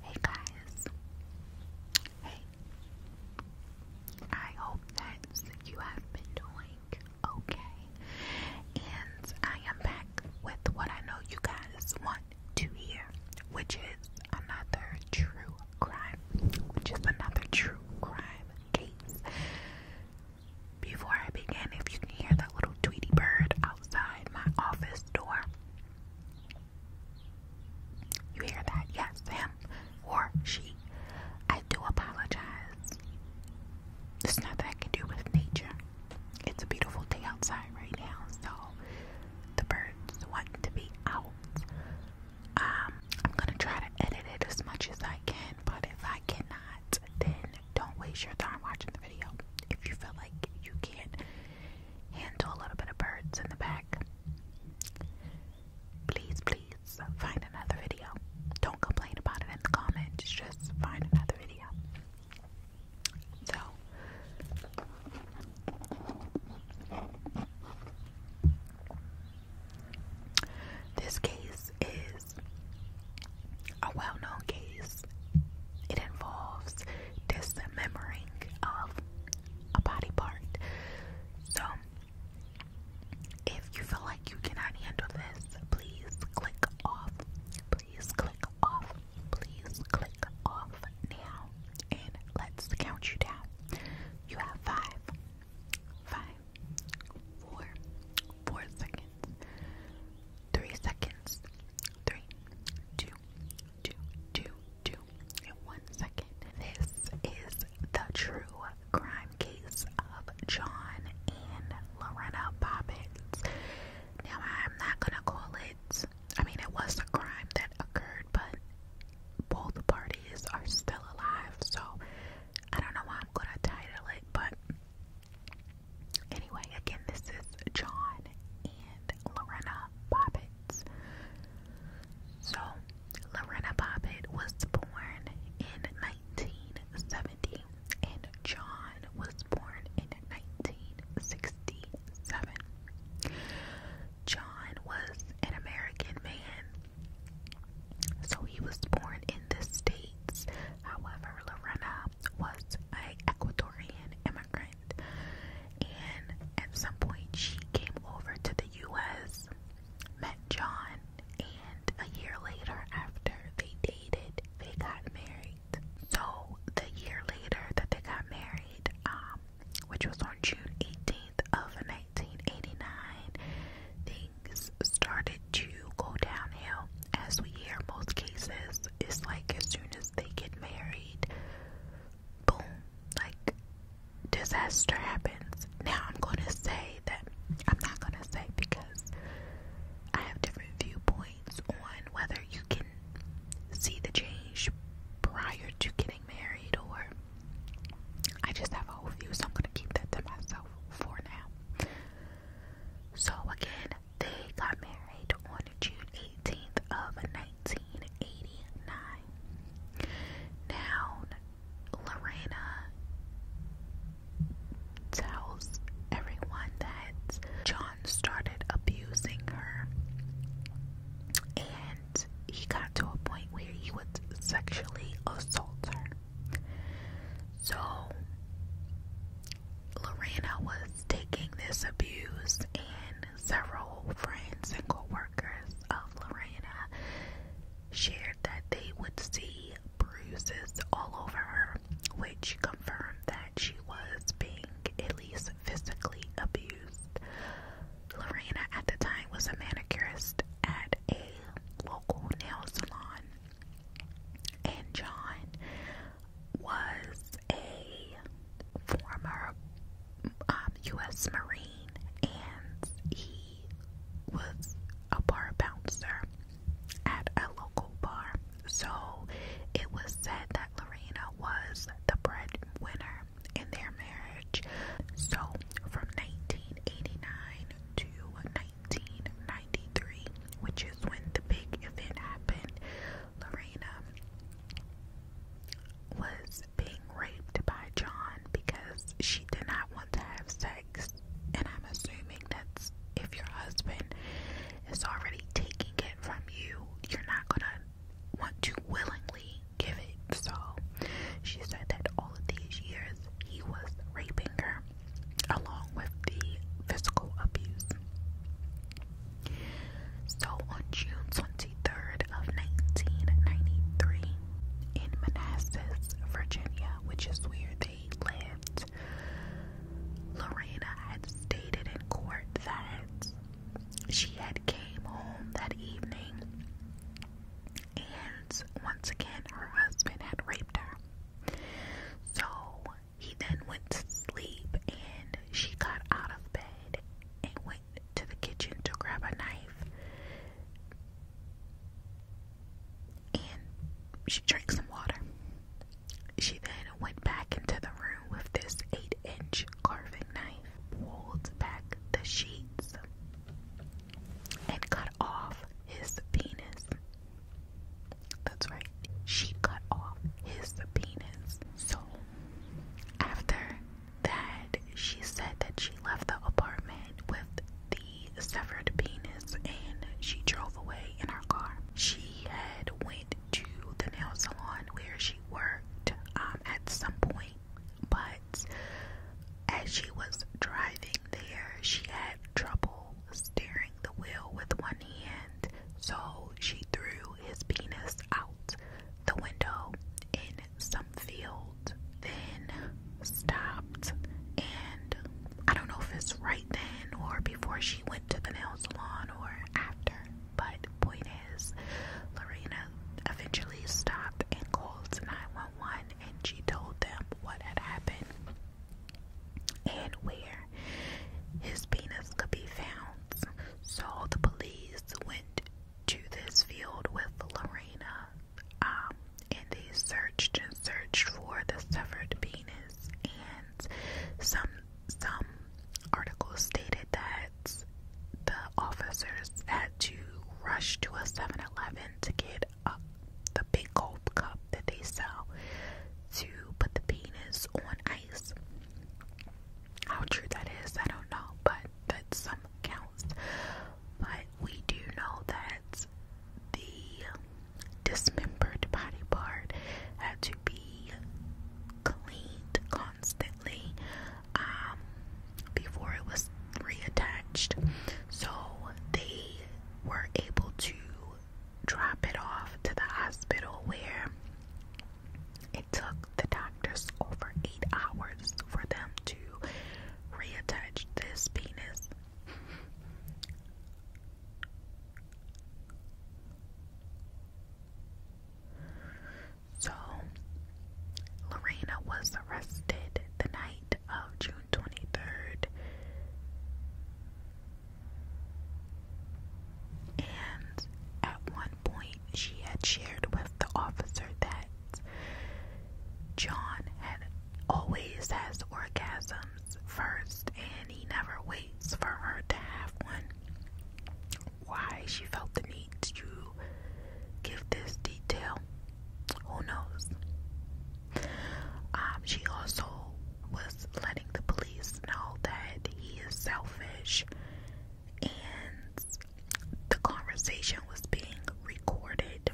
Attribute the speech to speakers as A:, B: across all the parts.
A: Hey guys. Hey. I hope that you have been doing okay. And I am back with what I know you guys want to hear, which is another true crime, which another true crime case. Before I begin, if you can hear that little Tweety bird outside my office door, you hear that? Yes, him or she. I do apologize. There's nothing I do with nature. It's a beautiful day outside right now, so the birds want to be out. Um, I'm gonna try to edit it as much as I can, but if I cannot, then don't waste your time watching the video. If you feel like you can't handle a little bit of birds in the back. Please, please find another video. Don't complain about it in the comments, just find another video. So, this case is a well known case it involves dismembering of a body part. So, if you feel like you cannot handle this, please click off. Please click off. Please click off now. And let's count you down. You have five, five, four, four seconds, three seconds. Three, two, two, two, two, and one second. This is the true crime case of John and Lorena Bobbitt. Now, I'm not gonna call it, I mean, it was a crime that occurred, but both parties are still alive, so I don't know why I'm gonna title it, but Anyway, again, this is John and Lorena Bobbitt. So, Lorena Bobbitt was born in 1970, and John was born in 1967. John was an American man, so he was born in the States However, Lorena was an Ecuadorian immigrant, and at some point she came over to the U.S., met John, and a year later, after they dated, they got married. So the year later that they got married, um, which was on June 18th of 1989, things started to go downhill. As we hear, most cases, it's like as soon as they get married, boom, like disaster happens. Now, I'm gonna say that I'm not gonna say because I have different viewpoints on whether you can see the change prior to getting married, or I just have a whole view, so I'm gonna keep that to myself for now. So, again, they got married on June 18th of 1989. Now, Lorena tells everyone that John started abusing her and he got to a point where he would sexually assault her. So Lorena was taking this abuse, and several friends and co workers of Lorena shared that they would see bruises all over her, which confirmed that she was being at least physically abused. Lorena at the time was a manicurist at a local nail salon, and John was a former U.S. Um, Marine and he was a bar bouncer at a local bar. So it was said that Lorena was the breadwinner in their marriage. So from 1989 to 1993, which is when the big event happened. Lorena was being raped by John because she did not want to have sex, and I'm assuming that's if your husband is already taking it from you, you're not gonna want to willingly give it. So she said that all of these years he was raping her along with the physical abuse. So on June 23rd of 1993 in Manassas, Virginia, which is where they lived, Lorena had stated in court that she had came home that evening and once again her husband had raped her. So he then went to sleep, and she got out of bed and went to the kitchen to grab a knife. And she drank some water. She then went back into the room with this 8 inch carving knife, pulled back the sheets, and cut off his penis. That's right. She cut off his penis. So, after that, she said that she left the apartment with the severed penis and she drove away in her car. She had went to the nail salon where she worked um, at some point, but as she was driving, there, she had trouble steering the wheel with one hand, so she threw his penis out the window in some field, then stopped. And I don't know if it's right then or before she went to the nail salon or after, but point is, Lorena eventually stopped and called 911 and she told them what had happened and where his penis could be found. So the police went to this field with Lorena um, and they searched and searched for the severed penis. And some, some articles stated that the officers had to rush to a 7 Eleven to get the big gold cup that they sell to put the penis on ice. How true that is, I don't know, but that some counts. But we do know that the dismembered body part had to be cleaned constantly um, before it was reattached. So they were able to drop it off to the hospital where it took the doctors over eight hours for them to reattach this penis. So, Lorena was arrested the night of June 23rd. And at one point, she had shared with the officer that John had always has orgasms first and he never waits for her to have one. Why she felt the need to give this detail who knows? Um, she also was letting the police know that he is selfish and the conversation was being recorded.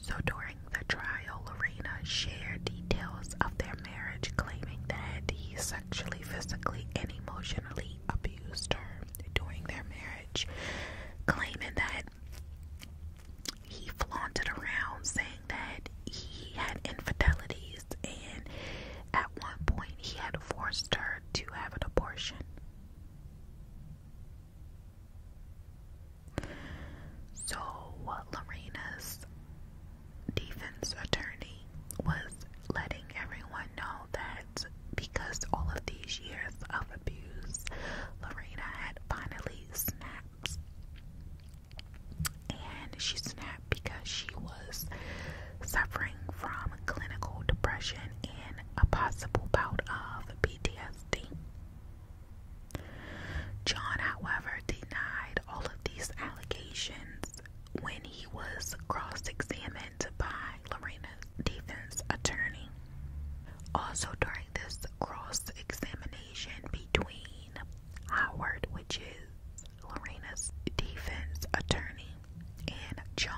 A: So during the trial, Lorena shared details of their marriage, claiming that he sexually, physically, and emotionally abused her during their marriage, claiming that he flaunted around saying that he had infidelities and at one point he had forced her to have an abortion. So, Lorena's defense attorney was letting everyone know that because all of these years of abuse Lorena had finally snapped. And she snapped because she was suffering from clinical depression and a possible bout of PTSD. John, however, denied all of these allegations when he was cross examined by Lorena's defense attorney. Also, during this cross examination between Howard, which is Lorena's defense attorney, and John.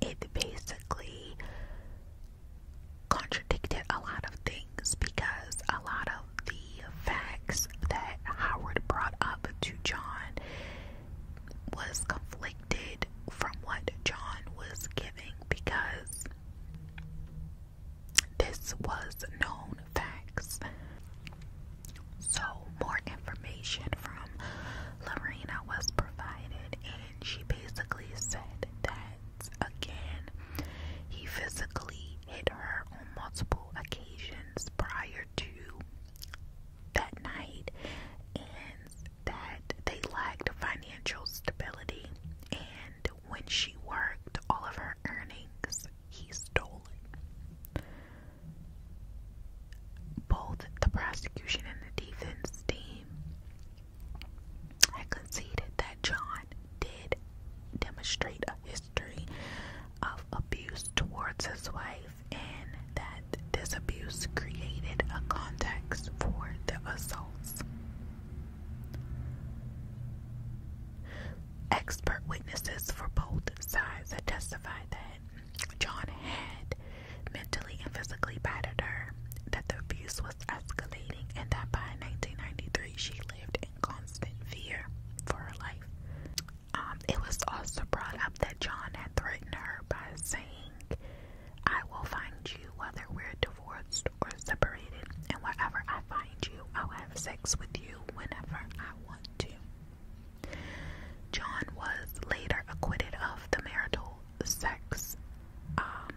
A: It basically contradicted a lot of things because a lot of the facts that Howard brought up to John was conflicted from what John was giving because this was known facts. So, more information from Lorena was provided, and she basically said that again, he physically hit her on multiple occasions prior to that night, and that they lacked financial stability, and when she worked, all of her earnings he stole it. Both the prosecution and the defense team had conceded that John did demonstrate a history of abuse towards his wife and that this abuse created a context for the assaults. Expert witnesses for both sides testified that John had mentally and physically battered her, that the abuse was escalating, and that by 1993 she lived in constant fear for her life. Um, it was also brought up that John had threatened her by saying, I will find you whether we're divorced or separated, and wherever I find you, I'll have sex with you whenever I want to. John was later acquitted of the marital sex um,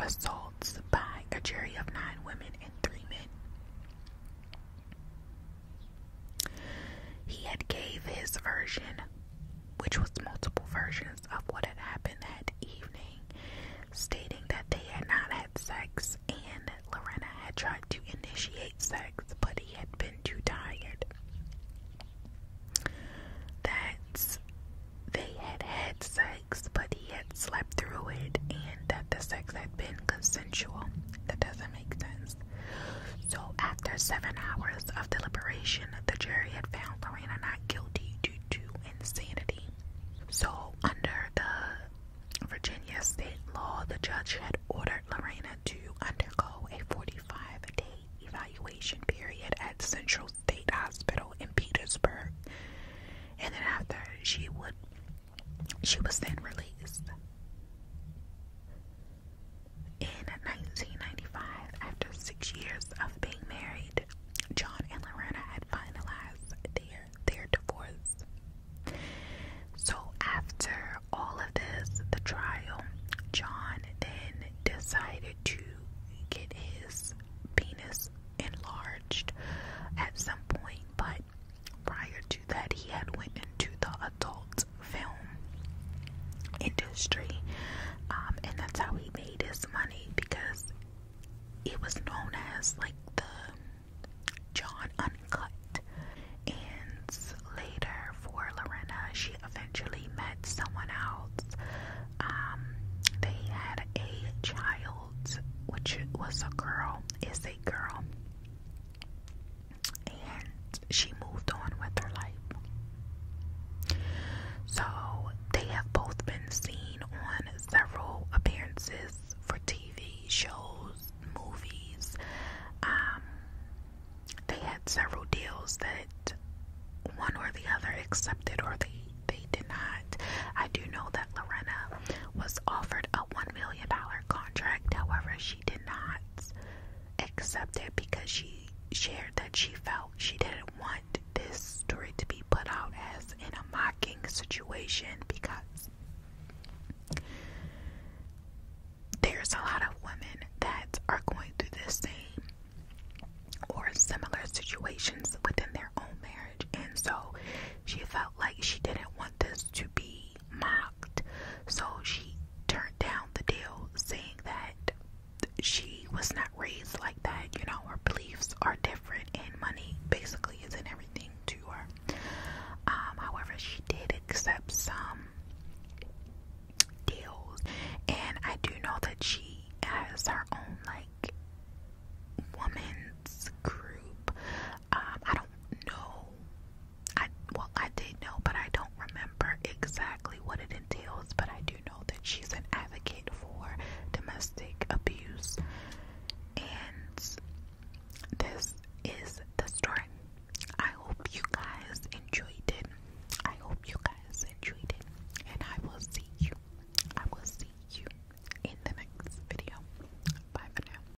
A: assaults by a jury of nine women and three men. He had gave his version, which was multiple versions of what had happened that evening, stating that they had not had sex and Lorena had tried to initiate sex, but he had been too tired. That they had had sex, but he had slept through it, and that the sex had been consensual. That doesn't make sense. So, after seven hours of deliberation, the jury had found Lorena not guilty due to insanity. So, under the Virginia state law, the judge had ordered Lorena to undergo a 45 day evaluation period at Central State Hospital in Petersburg, and then after she would, she was then released. In 1995, after six years of being married, John and Lorena had finalized their, their divorce. So, after all of this, the trial, John then decided to get his penis enlarged at some point, but prior to that he had went into the adult film industry, um, and that's how he made his money because it was known as like the John Uncut. And later for Lorena, she eventually met someone else. Um, they had a child, which was a girl. Is a girl and she moved on with her life. So they have both been seen on several appearances for TV shows, movies. Um, they had several deals that one or the other accepted or they they did not. I do know that Lorena was offered a one million dollar contract, however, she she did not accept it because she shared that she felt she didn't want this story to be put out as in a mocking situation because there's a lot of women that are going through the same or similar situations within their own marriage, and so she felt like she didn't want this to be be mocked, so she turned down the deal, saying that she was not raised like that. You know, her beliefs are different, and money basically isn't everything to her. Um, however, she did accept some deals, and I do know that she has her own like woman's group. Um, I don't know I well I did know, but I don't remember exactly what it entails, but I do know that she's an advocate for domestic abuse and this is the story. I hope you guys enjoyed it. I hope you guys enjoyed it. And I will see you. I will see you in the next video. Bye for